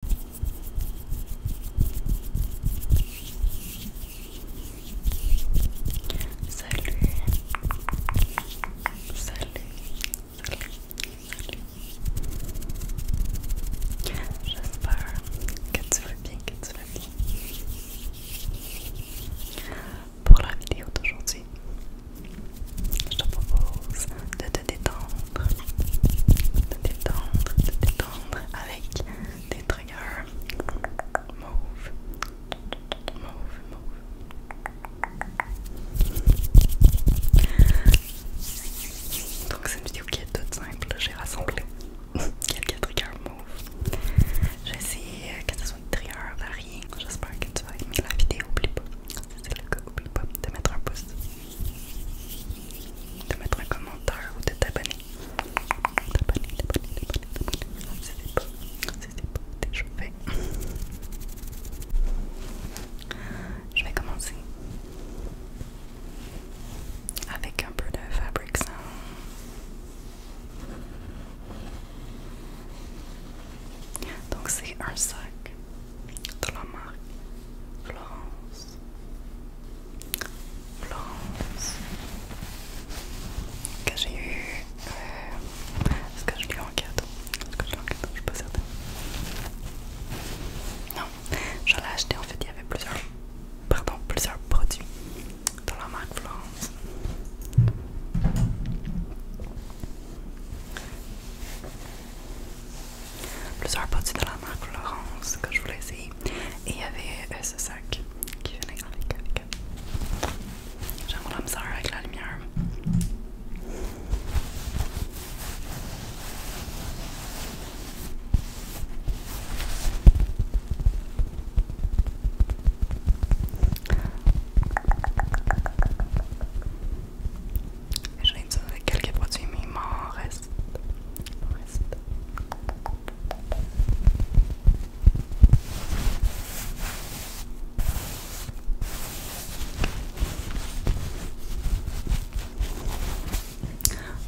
Salut. Salut. Salut. Salut. J'espère que tu vas bien, que tu vas bien. Pour la vidéo d'aujourd'hui, je te propose de te détendre, de détendre, de détendre avec des triggers move move move Donc c'est une vidéo qui est toute simple, j'ai rassemblé quelques triggers move J'essaie euh, que ce soit des triggers variés, j'espère que tu vas aimer la vidéo, oublie pas. c'est le cas, oublie pas de mettre un pouce de mettre un commentaire ou de t'abonner. T'abonner, t'abonner, t'abonner, t'abonner. C'était pas, c'était pas déjà fait. Je vais commencer avec un peu de fabric sound. Donc c'est un sac de la marque Florence, Florence, que j'ai eu. Euh, est-ce que je l'ai en cadeau Est-ce que je l'ai en cadeau Je suis pas certaine. Non, je l'ai acheté en fait, il y avait plusieurs, pardon, plusieurs produits dans la marque Florence plusieurs produits de la marque Florence que je voulais essayer. Et il y avait euh, ce sac qui venait avec. avec. J'aime la avec la lumière. Je viens de dire quelques produits, mais il m'en reste. reste.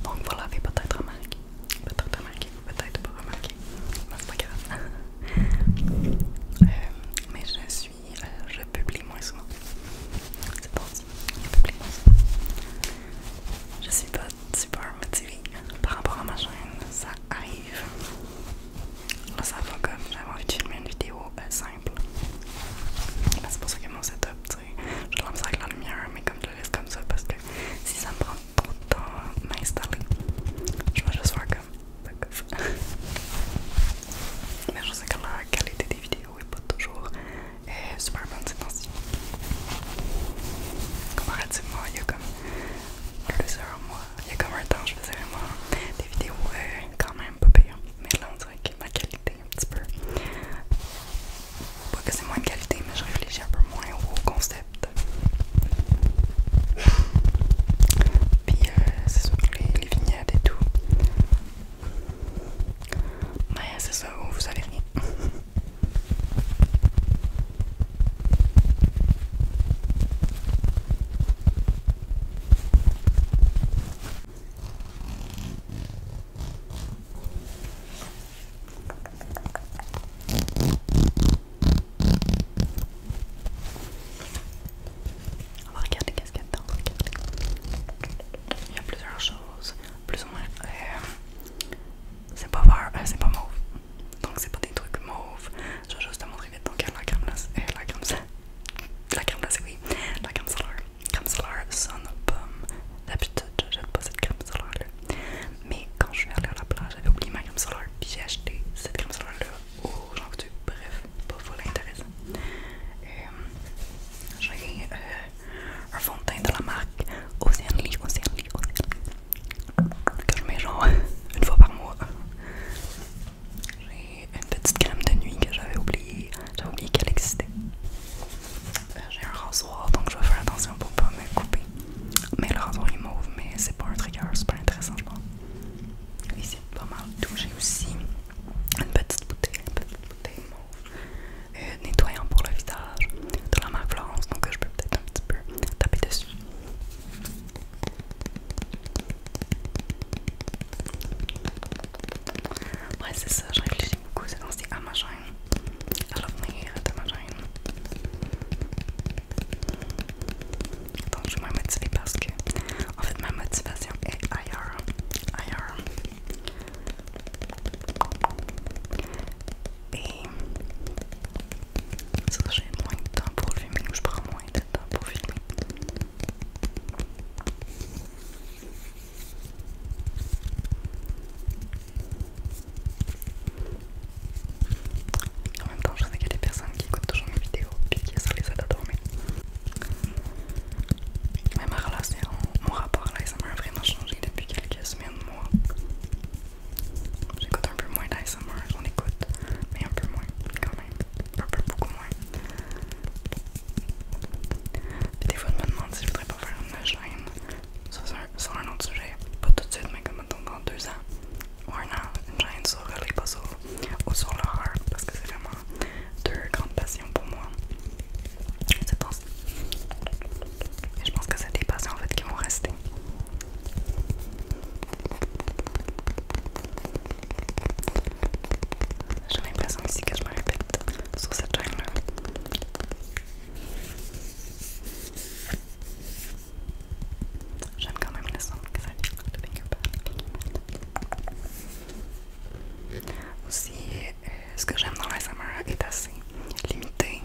Donc vous l'avez peut-être remarqué, peut-être remarqué, peut-être pas remarqué, mais c'est pas grave. Euh, mais je suis, euh, je publie moins souvent. C'est parti. Je suis pas super motivée par rapport à ma chaîne, ça arrive. Là, ça va comme j'avais envie de filmer une vidéo euh, simple. C'est pour ça que mon setup, tu sais, je ça avec la lumière, mais comme je le laisse comme ça, parce que si ça me prend trop de temps à m'installer, je vais juste faire comme. ça, mais je sais que la qualité des vidéos et pas toujours. Et euh, super bonne ces temps-ci. Comparativement, il y a comme plusieurs mois, il y a comme un temps, je faisais vraiment des vidéos euh, quand même pas pire. Mais là, on dirait que ma qualité un petit peu. Pas que c'est moins de qualité, mais je réfléchis un peu moins au concept. Puis euh, c'est surtout les vignettes et tout. Mais c'est ça, vous allez rire. On va regarder qu'est-ce qu'il Il y a plusieurs choses plus ou moins. Euh, c'est pas vert, euh, c'est pas mauve. Donc c'est pas des trucs mauves. Je vais juste te montrer vite. Donc la crème là eh, la crème la crème c'est oui. La crème solaire, crème solaire Sun Pomme. D'habitude, J'aime pas cette crème solaire là. Mais quand je suis allée à la plage, j'avais oublié ma crème solaire. Puis j'ai acheté cette crème solaire là j'en veux bref, pas full l'intéressant. Euh, j'ai un fond de la marque Oceanly, Oceanly, Oceanly que je mets genre une fois par mois. J'ai une petite crème de nuit que j'avais oublié. j'avais oublié qu'elle existait. Euh, j'ai un rasoir donc je vais faire attention pour pas me couper. Mais le rasoir est mauve, mais c'est pas un trigger pas intéressant je c'est Ici, pas mal touché aussi une petite bouteille, une petite bouteille mauve, euh, nettoyant pour le visage de la marque Florence, donc je peux peut-être un petit peu taper dessus. Ouais, c'est ça, je réfléchis beaucoup c'est dans ces à ma chaîne, à l'avenir de ma chaîne. Donc, je suis moins motivée parce que, en fait, ma motivation est ailleurs. Ailleurs. Et ça, j'ai moins de temps pour filmer, donc je prends moins de temps pour filmer. En même temps, je sais qu'il y a des personnes qui écoutent toujours mes vidéos et qui sont les aide à dormir. Mais ma relation, mon rapport à l'ASMR a vraiment changé depuis quelques semaines, moi. J'écoute un peu moins d'ASMR, On écoute, mais un peu moins quand même. Un peu beaucoup moins. des fois, je me demande si je voudrais pas faire une chaîne sur un, un autre sujet. Pas tout de suite, mais comme dans deux ans ou un an, une chaîne sur les puzzles ou sur parce que c'est vraiment deux grandes passions pour moi je pense. je pense que c'est des passants en fait qui vont rester. J'ai l'impression ici que je me répète sur cette chaîne là. J'aime quand même le son que ça fait. Aussi, ce que j'aime dans la SMR est assez limité.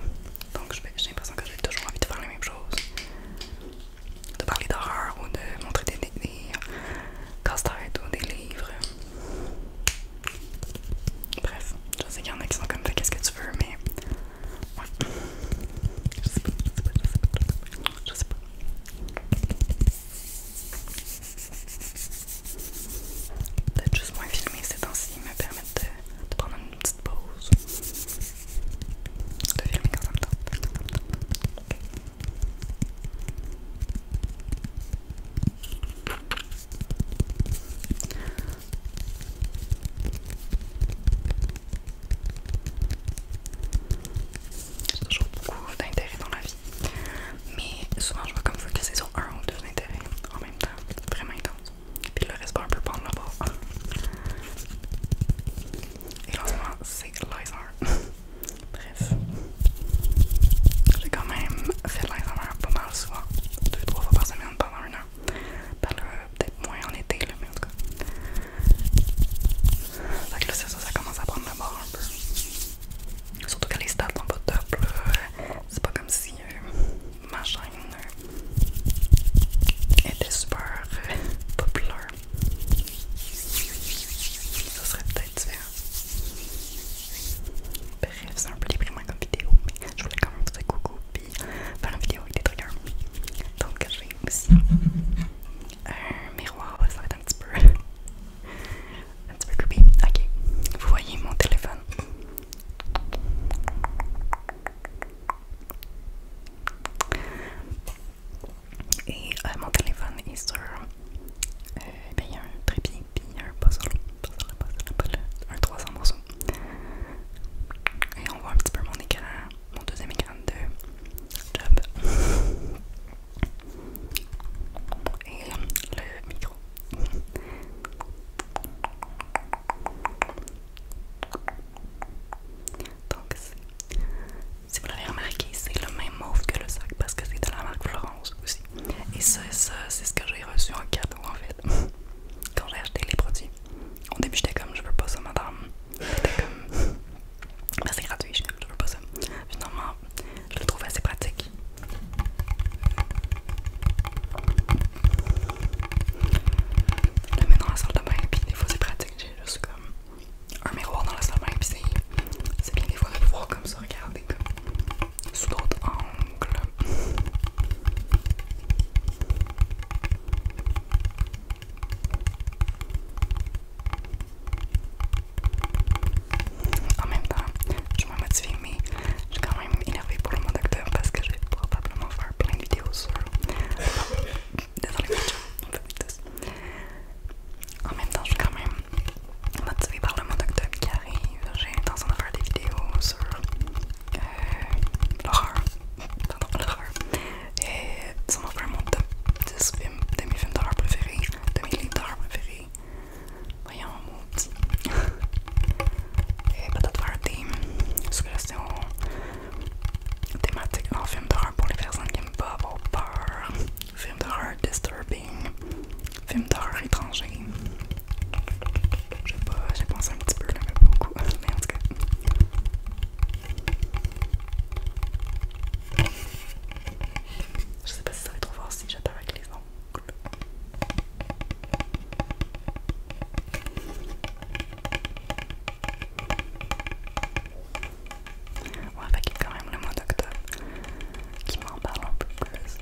Donc j'ai l'impression que j'ai toujours envie de faire les mêmes choses. De parler d'horreur ou de montrer des, euh, casse-têtes ou des livres. Bref, je sais qu'il y en a qui sont comme ça, qu'est-ce que tu veux, mais. Ouais. je sais pas, je sais pas. Je sais pas. Je sais pas. Peut-être juste moins filmer ces temps-ci me permettent de, prendre une petite pause. De filmer quand même me temps. Quand toujours beaucoup d'intérêt dans la vie. Mais souvent, je vois comme focus sur un ou deux intérêts en même temps, vraiment intense. Puis le reste va un peu prendre le bord. Et moment, c'est l'ASMR. Bref, j'ai quand même fait l'ASMR pas mal souvent, deux, trois fois par semaine pendant un an. Peut-être moins en été, mais en tout cas. Donc ça, ça commence à prendre le bord un peu. Surtout que les stats sont pas top, là. C'est pas comme si euh, ma chaîne euh, était super euh, populaire. Ça serait peut-être différent. Bref, c'est un peu déprimant comme vidéo, mais je voulais quand même faire coucou puis faire une vidéo avec des triggers. Donc j'ai aussi un miroir, ça va être un petit peu un petit peu creepy. Ok. Vous voyez mon téléphone. Et euh, mon téléphone est sur. Euh, ben, il y a un trépied, puis un puzzle. puzzle. Un 300 morceaux. Et on voit un petit peu mon écran, mon deuxième écran de job. Et le micro donc, si vous l'avez remarqué, c'est le même mauve que le sac parce que c'est de la marque Florence aussi. Et ça, c'est ce que j'ai reçu en cadeau en fait. Quand j'ai acheté les produits, au début j'étais comme je veux pas ça, madame. J'étais comme ben, c'est gratuit, je veux pas ça. Finalement, je le trouve assez pratique. Je le mets dans la salle de bain, Et puis des fois c'est pratique, j'ai juste comme un miroir dans la salle de bain, puis c'est bien des fois de voir comme ça, regarder comme sous d'autres angles en même temps, je me motivée, mais je suis quand même énervée pour le mois d'octobre parce que je vais probablement faire plein de vidéos sur. désolé on fait tous. En même temps, je suis quand même motivée par le mois d'octobre qui arrive. J'ai l'intention de faire des vidéos sur euh, l'horreur. Pardon, Et ça m'a fait un mon top 10 films de mes films d'horreur préférés, de mes livres d'horreur préférés. Voyons mon petit. Et peut-être faire des suggestions thématiques en film d'horreur pour les personnes qui aiment pas avoir peur. Film d'horreur disturbing. Film d'horreur étranger. Je sais pas, j'ai pensé un petit peu mais beaucoup. Mais en tout cas. Je sais pas si ça va être trop fort si j'attends avec les noms. On va qu'il quand même le mois d'octobre qui m'en parle un peu plus.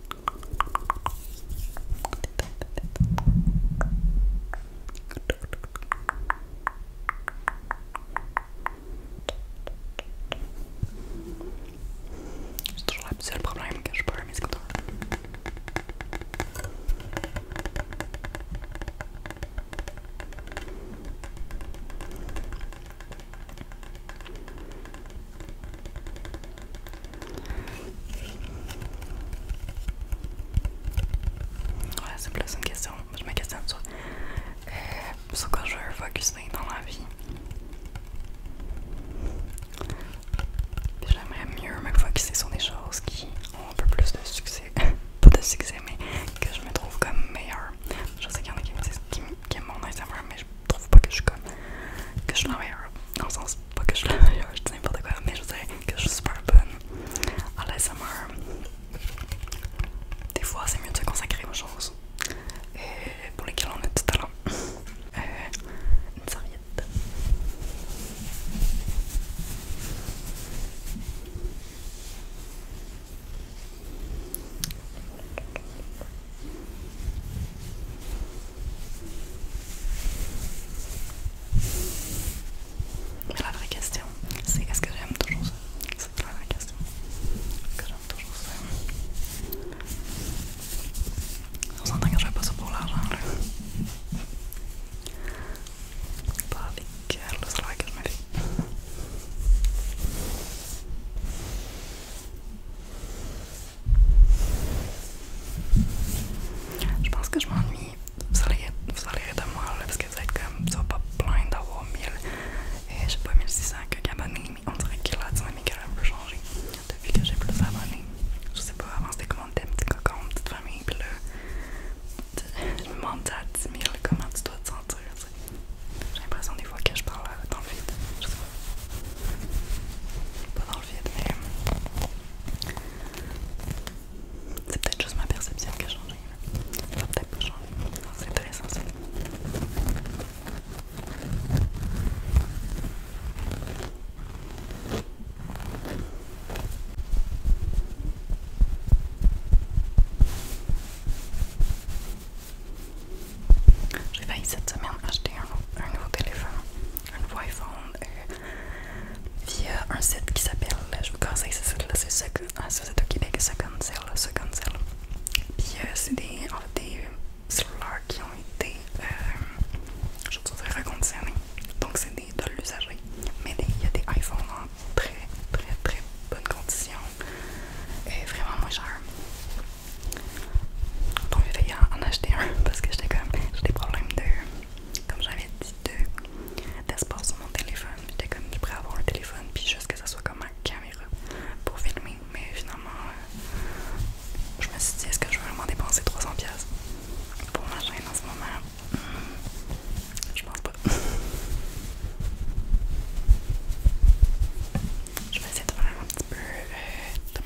C'est toujours le seul problème que je peux mes écouteurs. Ouais, c'est plus une question. Je me questionne sur, euh, sur quoi je veux focusser dans la vie. J'aimerais mieux me focusser sur des choses qui ont un peu plus de succès. Pas de succès, mais que je me trouve comme meilleure. Je sais qu'il y en a qui qui, aiment mon Instagram, mais je trouve pas que je suis comme. que je suis la meilleure. Dans le sens, pas que je ne dis n'importe quoi, mais je sais que je suis super bonne à l'ASMR. Des fois, c'est mieux de se consacrer aux choses et pour lesquelles on est tout à l'heure. une serviette. Mais la vraie question, c'est est-ce que j'aime toujours ça C'est la vraie question. Est-ce que j'aime toujours ça On s'entend que je vais passer pour l'argent là. Pas avec le salaire que je me fais. Je pense que je m'ennuie. Vous allez vous allez de moi là, parce que vous êtes comme ça pas plein d'avoir 1000 et j'ai pas 1600 abonnés mais on dirait que la dynamique a un peu changé depuis que j'ai plus d'abonnés. Je sais pas, avant c'était comment t'es un petit cocon, une petite famille, pis là je me demande à 10 000 comment tu dois te sentir. J'ai l'impression des fois que je parle euh, dans le vide. Je sais pas. Pas dans le vide, mais c'est peut-être juste ma perception qui a changé. Ça peut-être pas changé. C'est intéressant ça. J'ai failli cette semaine acheter un nouveau téléphone un nouveau iPhone euh, via un site qui s'appelle, je vous conseille ce site-là, c'est ah, Second, si au Québec, Second Cell, Second Cell. Puis euh, c'est des, euh, cellulaires qui ont été, je dirais, reconditionnés. Donc c'est des de l'usager, mais il y a des iPhones en très, très, très bonne condition et vraiment moins cher. Tant mieux fait en acheter un parce que j'étais comme j'ai des problèmes de comme j'avais dit de d'espace sur mon téléphone. J'étais comme je pourrais avoir un téléphone puis juste que ça soit comme ma caméra pour filmer. Mais finalement euh, je me suis dit est-ce que je vais vraiment dépenser 300$ pour ma chaîne en ce moment? Hmm, je pense pas. Je vais essayer de faire un petit peu euh,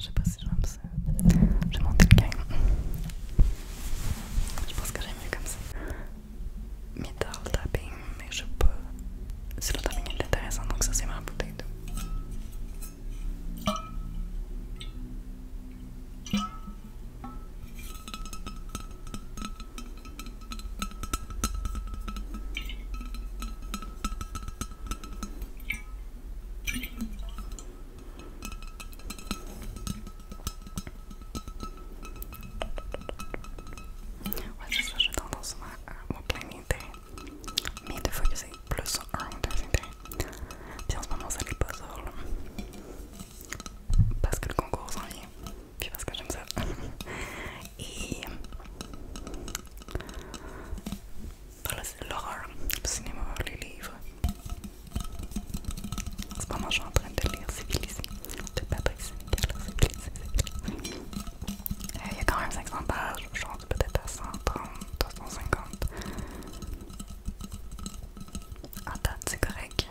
Je sais ça. J'ai le game. Je pense que j'aime mieux comme ça. Metal tapping, mais je sais pas. Si le tapping est intéressant, donc ça c'est ma bouteille Ouais, c'est ça, j'ai tendance à mon plein d'intérêts, mais il faut que c'est plus sur mon ou deux intérêts. Puis en ce moment, ça n'est pas sur Parce que le concours s'en vient, puis parce que j'aime ça. Et. Voilà, c'est l'horreur au cinéma, les livres. En ce moment, je suis en train de lire Civilisé de Patrick Sénégal. Civilisé, euh, Il y a quand même 500 pages, je suis peut-être à 130, 150. En date, c'est correct.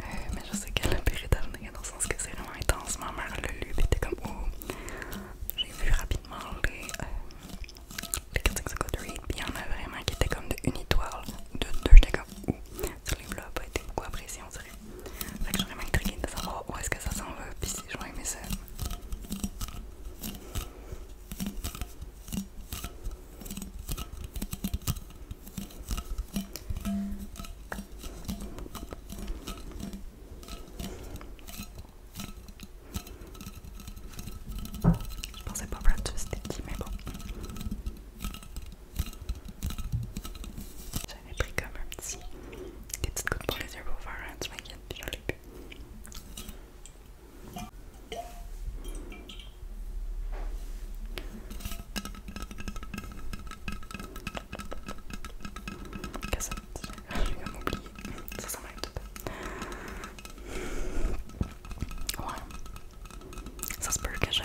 Euh, mais je sais qu'elle a péré d'avenir dans le sens que c'est vraiment intense. Ma mère l'a lu et était comme oh. J'ai vu rapidement les, euh, les critiques ça coûte read, puis il y en a vraiment qui étaient comme de une étoile, de deux, j'étais sais pas où. Sur les blocs, pas été beaucoup apprécié, on dirait. Fait que je suis vraiment intriguée de savoir où est-ce que ça s'en va, puis si je vais aimer ça. Je pensais pas c'était Sticky, mais bon. J'avais pris comme un petit. des petites gouttes pour les yeux pour faire un petit maquillage, puis j'en ai plus. Qu'est-ce que ça me dit? J'ai oublié. Ça, ça m'aide tout. Ouais. Ça se peut que j'ai.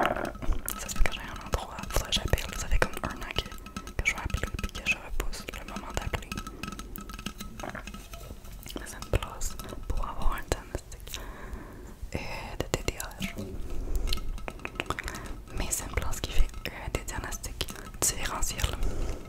Euh, ça se un endroit. où j'appelle. vous fait comme un an que, je vais appeler et que je repousse le moment d'appeler. C'est une pour avoir un diagnostic et euh, de TDAH. Mais c'est une place qui fait euh, des diagnostics différentiels.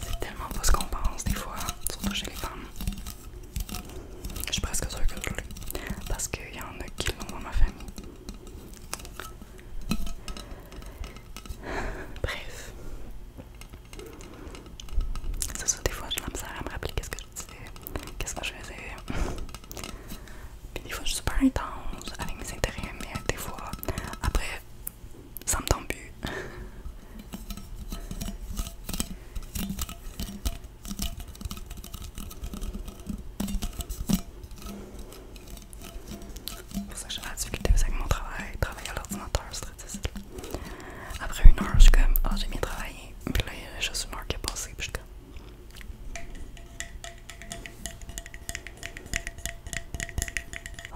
C'est tellement pas ce qu'on pense des fois, surtout chez les femmes. Je suis presque sûre que je l'ai. Parce qu'il y en a qui l'ont dans ma famille. Bref. C'est ça, des fois j'ai la à me rappeler qu'est-ce que je disais, qu'est-ce que je faisais. Puis des fois je suis super intense avec mes intérêts, mais des fois, après ça me tombe plus. Pour ça, que j'ai la difficulté avec mon travail. Travailler à l'ordinateur, c'est très difficile. Après une heure, je suis comme, ah, j'ai bien travaillé. Puis là, il y a juste une heure qui est passée, puis je suis comme.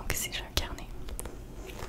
Donc, ici, j'ai un carnet.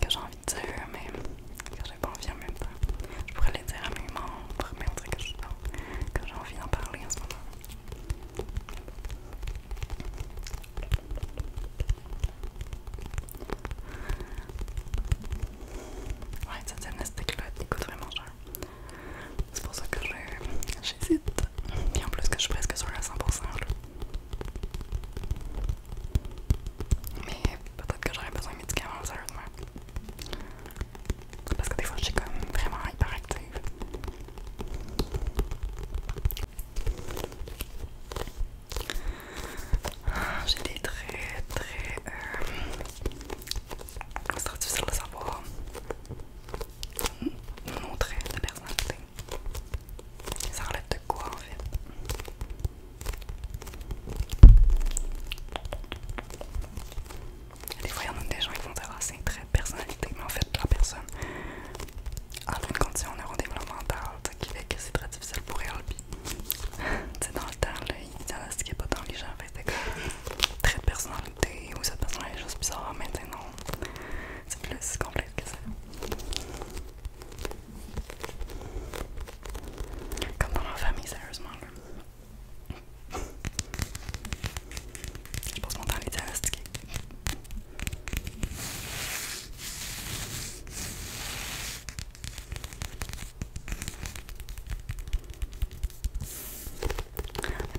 que j'ai envie de dire, mais que j'ai pas envie en même temps. Je pourrais les dire à mes membres, mais on dirait que, que j'ai envie d'en parler en ce moment. Ouais, cette gymnastique-là, elle coûte vraiment cher. C'est pour ça que j'hésite. et en plus que je suis presque sur à 100%. Mais peut-être que j'aurais besoin de médicaments, sérieusement. Parce que des fois, je suis comme vraiment hyperactive. Ah, j'ai des traits très. Euh, C'est trop difficile de savoir nos traits de personnalité. Ça relève de quoi en fait. Des fois, il y en a des gens qui vont avoir ces très personnalité, mais en fait, la personne a une condition neurodéveloppementale qui fait que c'est très difficile pour elle. Puis, dans le temps, il ils a ce qui n'est pas dans les gens. C'est comme trait de personnalité ou cette personne est juste bizarre, mais non, c'est plus complexe que ça. Comme dans ma famille, sérieusement. Là. Je passe mon temps à les diagnostiquer.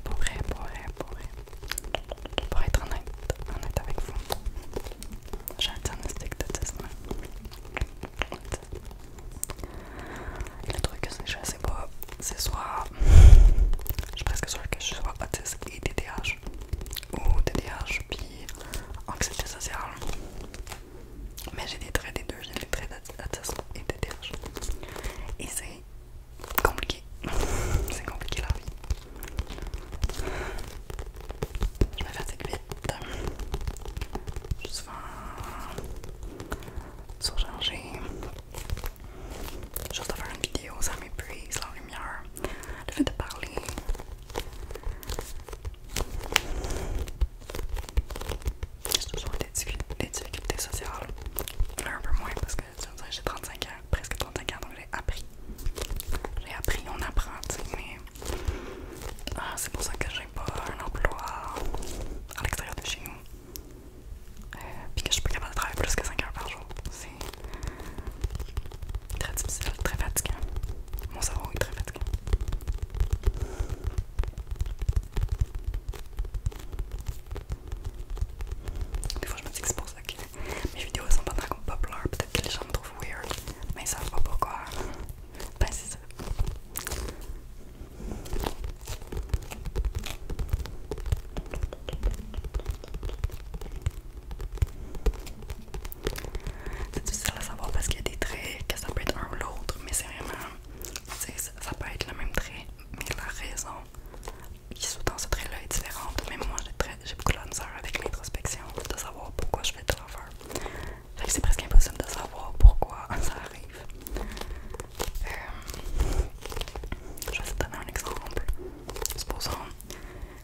Pour Pour être honnête, honnête avec vous, j'ai un diagnostic d'autisme Et le truc que c'est je sais pas, c'est soit. Je suis presque sûr que je sois autiste et TDAH. Ou TDAH puis anxiété sociale. Mais j'ai des traits des deux, j'ai des traits d'autisme et TDAH. Et c'est compliqué. c'est compliqué la vie. Je me fatigue vite. Je souvent surchargée. Juste de faire une vidéo, ça m'épuise, la lumière. Le fait de parler. J'ai toujours des difficultés sociales. Là, un peu moins parce que j'ai 35 ans, presque 35 ans, donc j'ai appris. J'ai appris, on apprend, mais ah, c'est pour ça que j'ai pas un emploi à l'extérieur de chez nous. Euh, puis que je suis pas capable de travailler plus que 5 heures par jour. C'est très difficile, très fatigant. Mon cerveau est très fatigant. Des fois, je me dis que c'est pour ça que mes vidéos sont pas très populaires. Peut-être que les gens me trouvent weird, mais ils savent pas pourquoi c'est C'est difficile à savoir parce qu'il y a des traits que ça peut être un ou l'autre, mais c'est vraiment. Ça, ça peut être le même trait, mais la raison qui sous-tend ce trait-là est différente. Mais moi, j'ai beaucoup de la avec l'introspection, de savoir pourquoi je fais telle affaire. Fait que c'est presque impossible de savoir pourquoi ça arrive. Euh, je vais essayer de donner un exemple. Supposons,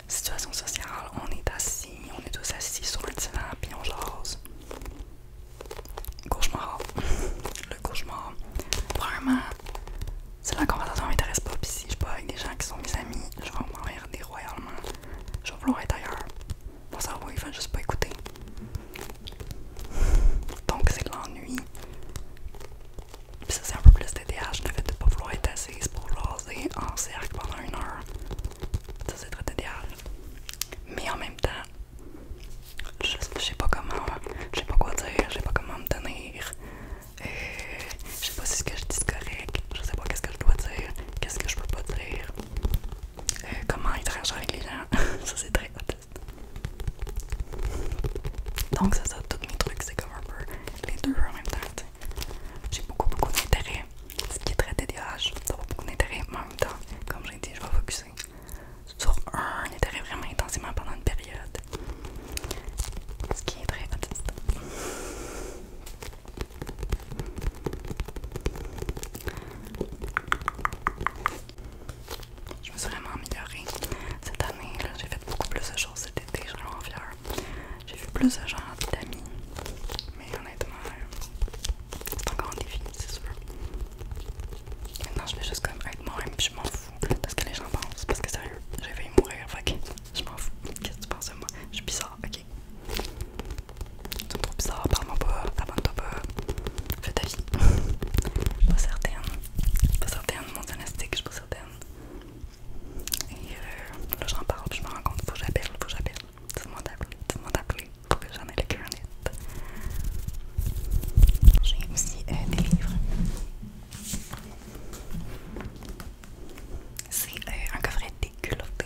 situation sociale, on est assis, on est tous assis sur le divan, puis on jase. Cauchemar. Le cauchemar. Vraiment, c'est la conversation m'intéresse pas, puis si je suis pas avec des gens qui sont mes amis, je vais m'emmerder royalement. Je vais vouloir être ailleurs. On s'en va, il va juste pas écouter. Donc c'est de l'ennui. Puis ça c'est un peu plus TDAH, je ne de pas vouloir être assise pour jaser en cercle pendant une heure. Ça c'est très dédié. Mais en même temps, je, sais pas comment, je sais pas quoi dire, je sais pas comment me tenir. Euh, je sais pas si ce que je dis est correct, je sais pas qu'est-ce que je dois dire, qu'est-ce que je peux pas dire. Euh, comment comment interagir avec les gens. ça c'est très autiste. Donc ça, ça, tous mes trucs, c'est comme un peu les deux en même temps. J'ai beaucoup beaucoup d'intérêt, ce qui est très dédiage, ça va beaucoup d'intérêt, mais en même temps, comme j'ai dit, je vais focuser sur un intérêt vraiment intensément pendant une période, ce qui est très autiste. Je me suis vraiment améliorée. Cette année, j'ai fait beaucoup plus de choses cet été, je suis vraiment fière. J'ai vu plus de gens, d'amis. Mais honnêtement, euh, c'est encore un défi, c'est sûr. Maintenant, je vais juste être moi je m'en fous de ce que les gens pensent. Parce que sérieux, j'ai failli mourir, je m'en fous. Qu'est-ce que tu penses de moi? Je suis bizarre ok. Tu me ça, parle-moi pas, abonne-toi pas, fais ta vie. je suis pas certaine, je suis pas certaine, mon diagnostic, je suis pas certaine. Et euh, là j'en parle, puis je me rends compte, faut que j'appelle, faut que j'appelle. dis tout le monde a d'appeler, pour que j'en ai le cœur net. J'ai aussi euh, des livres. C'est euh, un coffret déculotté.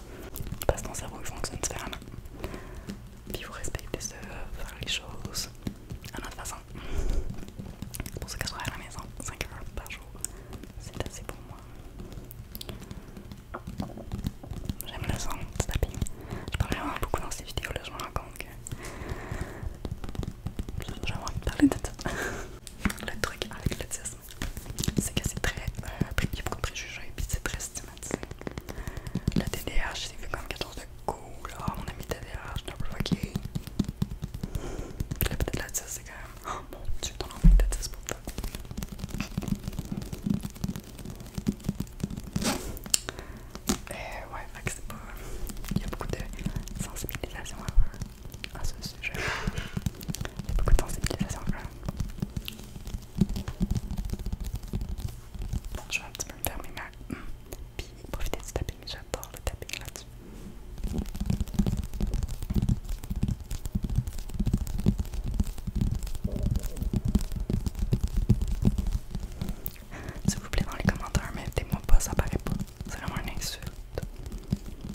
parce que ton cerveau fonctionne différemment. Puis vous respectez respecter ça, faire les choses à notre façon. pour ceux qui à la maison 5 heures par jour. C'est assez pour moi. J'aime le son c'est tapping. Je parle vraiment beaucoup dans ces vidéos-là, je me rends compte que parler de ça. le truc avec le c'est que c'est très. Euh, c'est très stigmatisé. La c'est quelque chose de cool. Oh, mon ami je c'est quand même. Oh, mon dieu, euh, ouais, Il y a beaucoup de sensibilisation à ce sujet. Il y a beaucoup de sensibilisation je vais un petit peu me fermer ma. Puis profiter du tapping, j'adore le tapping là-dessus. S'il vous plaît, dans les commentaires, mettez-moi pas, ça paraît pas. C'est vraiment une insulte.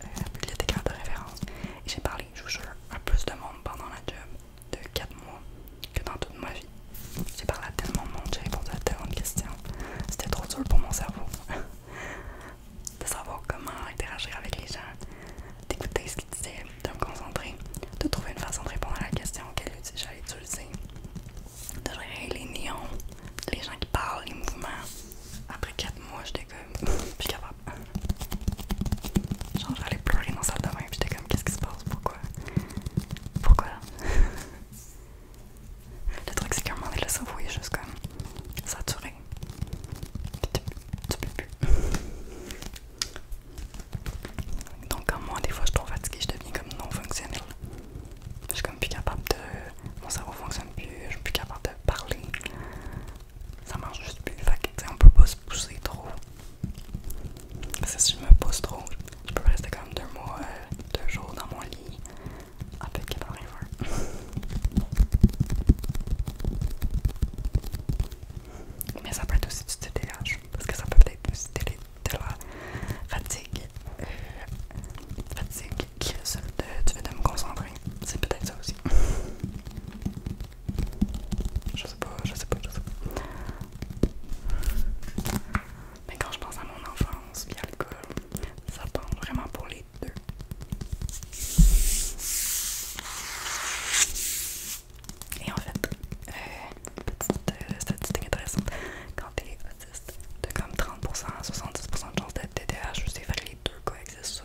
des euh, bibliothécaire de référence. Et j'ai parlé, je joue à plus de monde pendant la job de 4 mois que dans toute ma vie. J'ai parlé à tellement de monde, j'ai répondu à tellement de questions. C'était trop dur pour mon cerveau de savoir comment interagir avec les gens, d'écouter ce qu'ils disaient, de me concentrer, de trouver une façon de répondre à la question auquel j'allais utiliser, de gérer les néons, les gens qui parlent, les mouvements. Après 4 mois, j'étais comme, plus capable. Genre, j'allais pleurer dans la salle de bain, j'étais comme, qu'est-ce qui se passe? Pourquoi? Pourquoi? là le truc, c'est qu'à un moment le cerveau je comme saturé. Tu, peux plus. Donc, comme moi, des fois, je suis trop fatiguée, je deviens comme non fonctionnelle. Je suis comme plus capable de mon cerveau fonctionne plus, je ne suis plus capable de parler. Ça marche juste plus. Fait que, peut pas se pousser trop. Parce que si je me pousse trop, je peux rester comme deux mois, euh, deux jours dans mon lit avec a rien. Mais ça peut être aussi du TDAH, parce que ça peut être aussi de la fatigue. fatigue qui est tu seul de me concentrer. C'est peut-être ça aussi. Je sais pas, je sais pas, je Mais quand je pense à mon enfance et l'école, ça tombe vraiment pour les deux. Et en fait, euh, petite euh, statistique intéressante, quand t'es de comme 30% à 70% de chance d'être TDAH, je sais que les deux coexistent ça.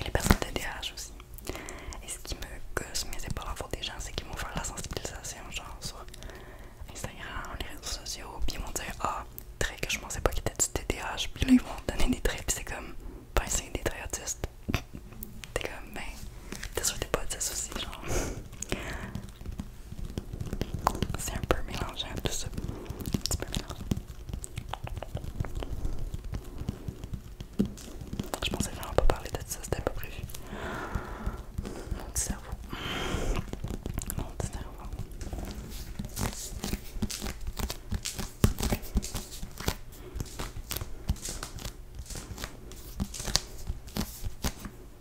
Et les personnes TDAH aussi. Et ce qui me gosse, mais c'est pas la faute des gens, c'est qu'ils vont faire la sensibilisation, genre sur Instagram, les réseaux sociaux, puis ils vont dire Ah, trait que je pensais pas qu'il était du TDAH, puis là ils vont donner des traits, c'est comme Ben, c'est des traits autistes. T'es comme Ben, t'es sûr que t'es pas autiste aussi, genre. C'est un peu mélangé mélangeable tout ça. Un petit peu mélangé. Je pensais vraiment pas parler de ça, c'était pas prévu. Mon petit cerveau. Mon petit cerveau. Hop.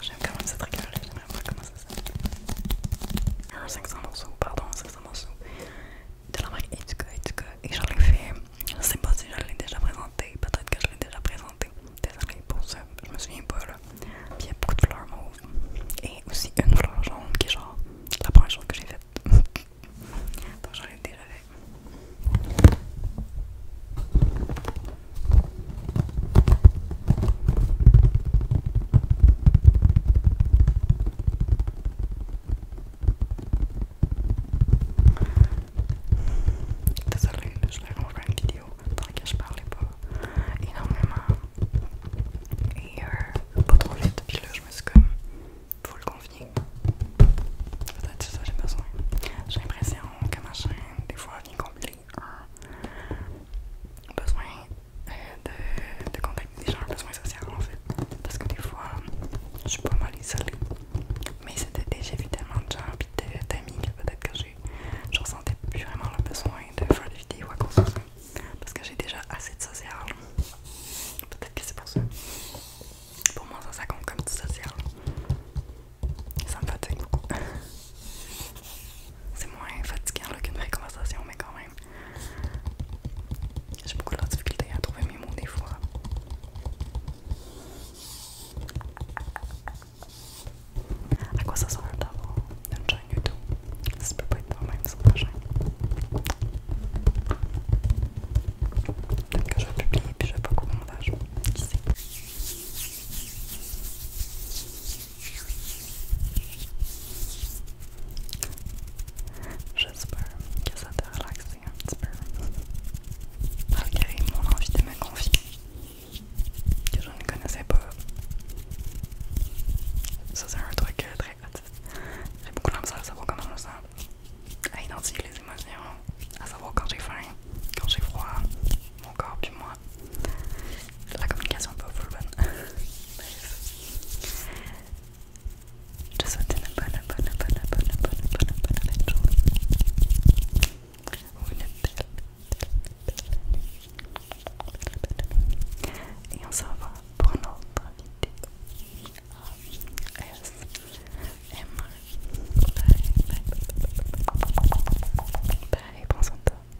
J'aime quand même cette rigueur là, j'aimerais voir comment ça s'appelle. Un 500 morceaux, pardon, 500 morceaux de la marque Etuka Etuka. Et j'en ai fait, je sais pas si je l'ai déjà présenté, peut-être que je l'ai déjà présenté. Désolée pour ça, je me souviens pas là. il y a beaucoup de fleurs mauves et aussi une fleur jaune qui est genre la première chose que j'ai faite. Donc j'en ai déjà fait. Désolée, je vais refaire une vidéo dans laquelle je parlais pas énormément et euh, pas trop Puis là, je me suis comme, faut le Peut-être ça j'ai besoin. J'ai l'impression que ma chaîne, des fois, besoin de, de contacter des gens en besoin social en fait. Parce que des fois, je suis pas mal isolée. Mais c'était déjà j'ai vu tellement de gens que peut-être que je ressentais plus vraiment le besoin de faire des vidéos à cause de ça. Parce que j'ai déjà assez de social. Peut-être que c'est pour ça. Pour moi, ça, ça compte comme du social. Ça me fatigue beaucoup. C'est moins fatigant qu'une vraie conversation, mais quand même. J'ai beaucoup de difficultés difficulté à trouver mes mots des fois. À quoi ça sert d'avoir une chaîne YouTube? Ça peut pas être normal, même sur ma chaîne. Peut-être que je vais publier puis je vais pas beaucoup de montage. Qui sait? J'espère que ça t'a relaxé un petit peu. mon envie de me confier, que je ne connaissais pas. Ça, c'est un truc euh, très hâtif. J'ai beaucoup de à savoir comment je me sens, à identifier les émotions, à savoir quand j'ai faim, quand j'ai froid, mon corps puis moi, la communication pas full bonne. Je souhaite une bonne, bonne, bonne, bonne, bonne, bonne, bonne, bonne journée. Et on se pour une vidéo. S M bye